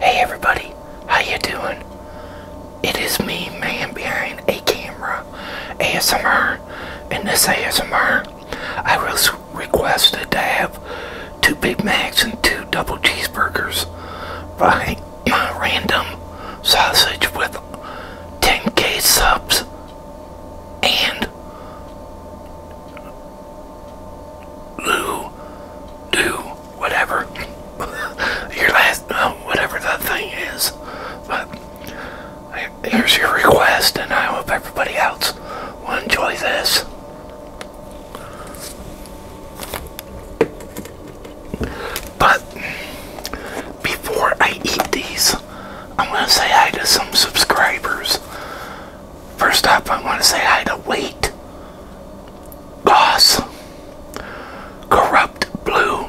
Hey everybody, how you doing? It is me, man behind a camera, ASMR, and this ASMR, I was requested to have two Big Macs and two double cheeseburgers by my random sausage with 10k subs and Lou, do, whatever your last, whatever that thing is. But here's your request, and I hope everybody else will enjoy this. But before I eat these, I am going to say hi to some subscribers. First off, I want to say hi to Wait. Goss, Corrupt Blue,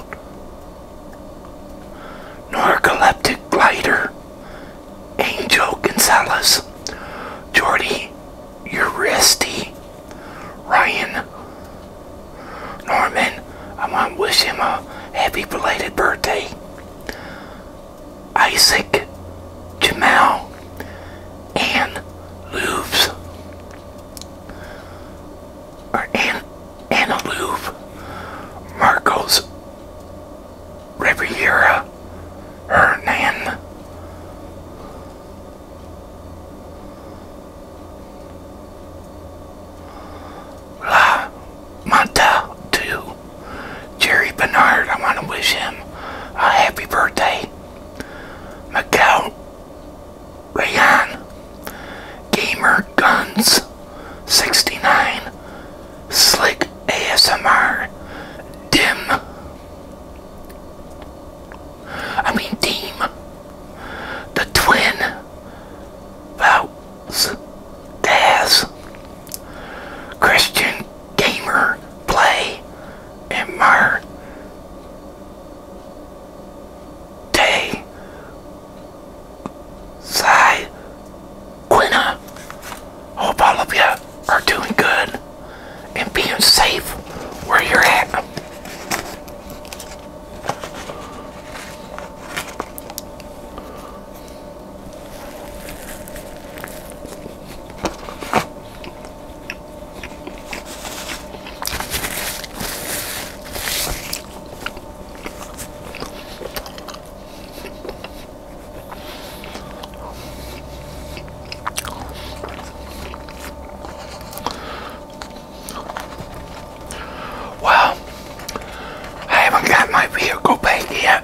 Narcoleptic Glider, Angel Gonzalez, Jordy Uristi, Ryan Norman. I want to wish him a happy belated birthday. Isaac Jamal and Louvres or An Anna Louvre, Marcos Riviera Hernan. La Monta to Jerry Bernard. I want to wish him a happy birthday. Macau Rayan Gamer Guns 69 Slick ASMR Dim I mean Deem The Twin Vouts Daz Christian gamer play in my day side Quina. Hope all of you are doing good and being safe where you're at. Well, I haven't got my vehicle back yet.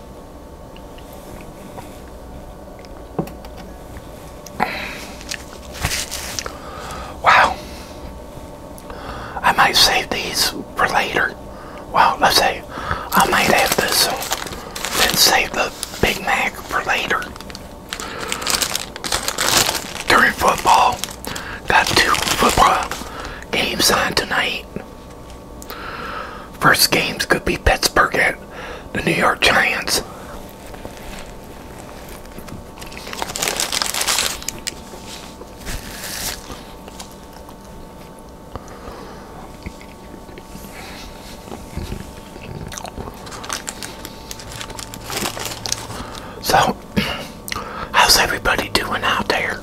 Wow. I might save these for later. Well, let's say I might have this and save the Big Mac for later. During football, got two football games on tonight. First games could be Pittsburgh the New York Giants. So, how's everybody doing out there?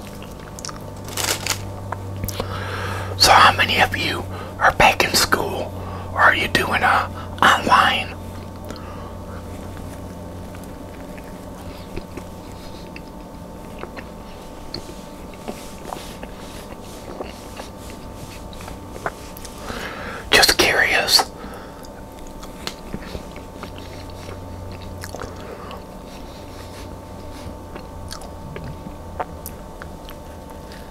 So, how many of you or back in school? Or are you doing a uh, online? Just curious.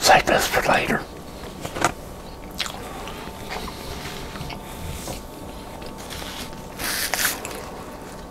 Save this for later.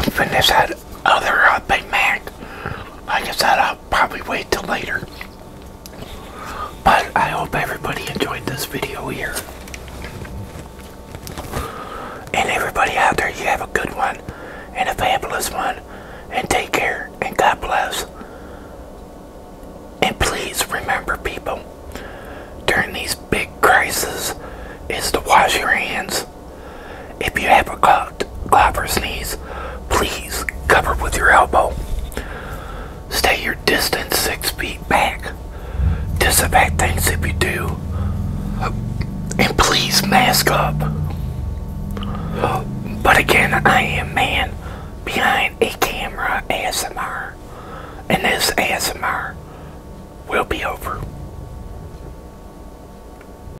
could finish that other uh, Big Mac. I guess I'll probably wait till later. But I hope everybody enjoyed this video here. And everybody out there, you have a good one and a fabulous one. And take care and God bless. And please remember people, during these big crises, is to wash your hands if you ever caught cough or sneeze, please cover with your elbow. Stay your distance six feet back. Disinfect things if you do. And please mask up. But again, I am man behind a camera ASMR. And this ASMR will be over.